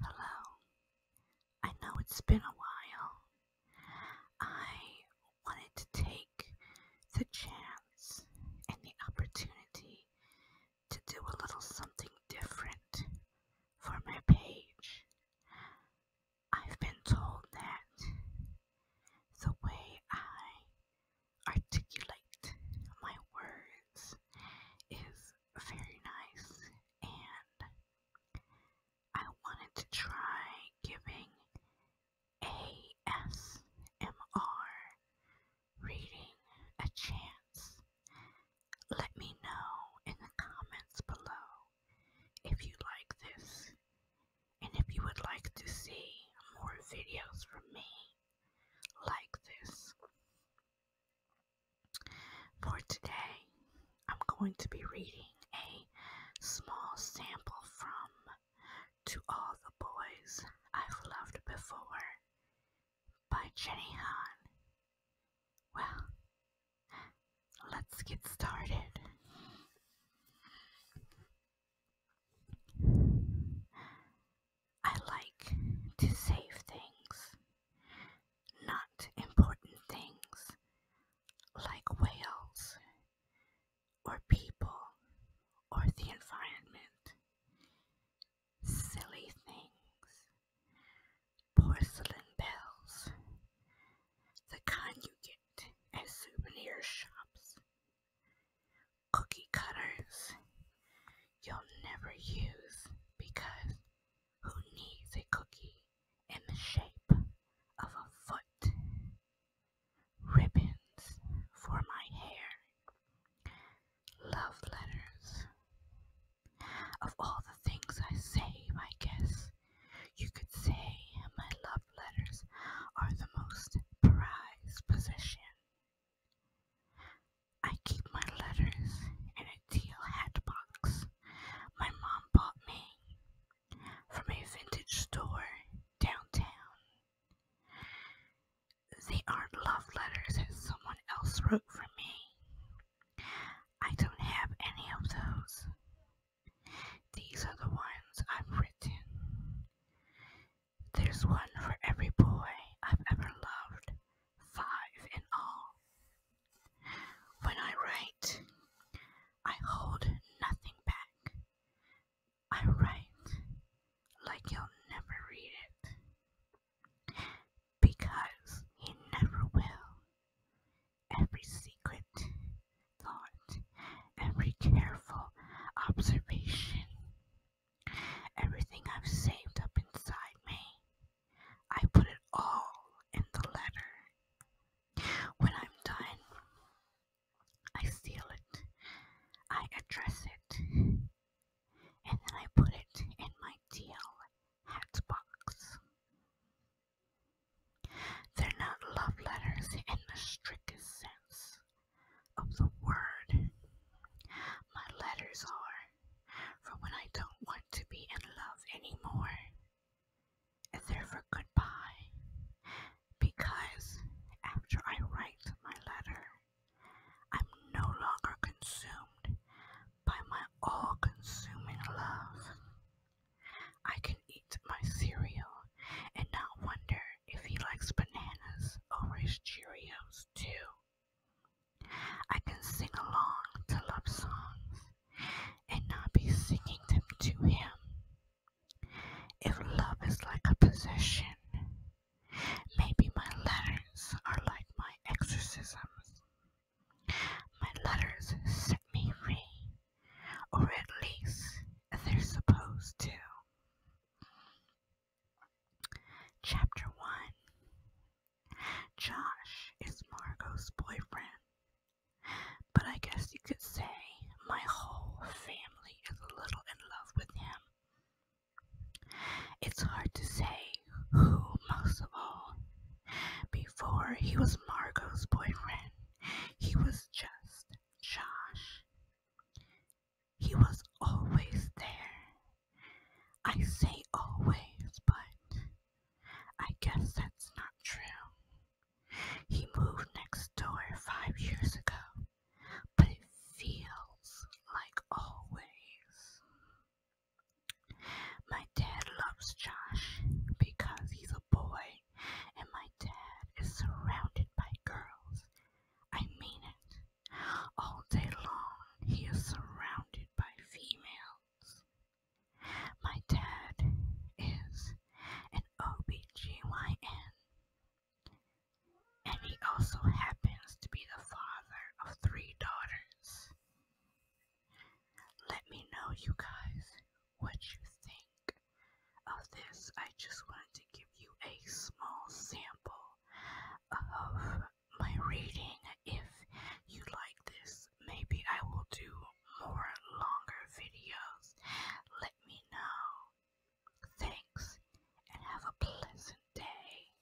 Hello. I know it's been a while. I wanted to take the chance and the opportunity to do a little something different for my page. I've been told that the way I articulate my words is very nice, and I wanted to try giving ASMR reading a chance. Let me know in the comments below if you like this and if you would like to see more videos from me like this. For today, I'm going to be reading a small sample from To All the Boys I've Loved Before by Jenny Hahn. Well, let's get started. I like to save things, not important things like whales or people or the environment, silly things, porcelain bells, the kind you get at souvenir shops cookie cutters you'll never use because who needs a cookie in the shape of a foot? Ribbons for my hair, love letters. Of all the things I say, my guess you could say my love letters are the most prized possession. I keep my letters in a teal hat box my mom bought me from a vintage store downtown. They aren't love letters as someone else wrote for me. I don't have any of those. These are the ones I've written. There's one for every boy I've ever loved, five in all. When I write, I hold nothing back. I write like you'll never read it. Because you never will every secret thought, every careful observation, everything I've saved up inside me. I put it all in the letter. When I'm done, I seal it, I address it, and then I put it in my deal hat box. They're not love letters in the strictest sense of the word. My letters are for when I don't want to be in love anymore. And they're for goodbye. Because after I write my letter, I'm no longer consumed by my all consuming love. I can eat my cereal and not wonder if he likes bananas or his Cheerios, too. I can sing along to love songs and not be singing them to him. If love is like a possession, maybe my letters are like my exorcisms. My letters set me free, or at least they're supposed to. Chapter 1 Josh is Margot's boyfriend, but I guess you could say my whole family is a little in love with him. It's hard to say who, most of all, before he was Margot's boyfriend, he was just Josh. He was always there. I say always, but I guess that's not true. He moved next door five years ago, but it feels like always. My dad loves Josh because he's a boy, and my dad is surrounded by girls. I mean it. All day long, he is surrounded by females. My dad is an OBGYN, and he also happens to be the father of three daughters. Let me know, you guys, what you think of this. I just wanted to give you a small sample of my reading. If you like this, maybe I will do more longer videos. Let me know. Thanks, and have a pleasant day.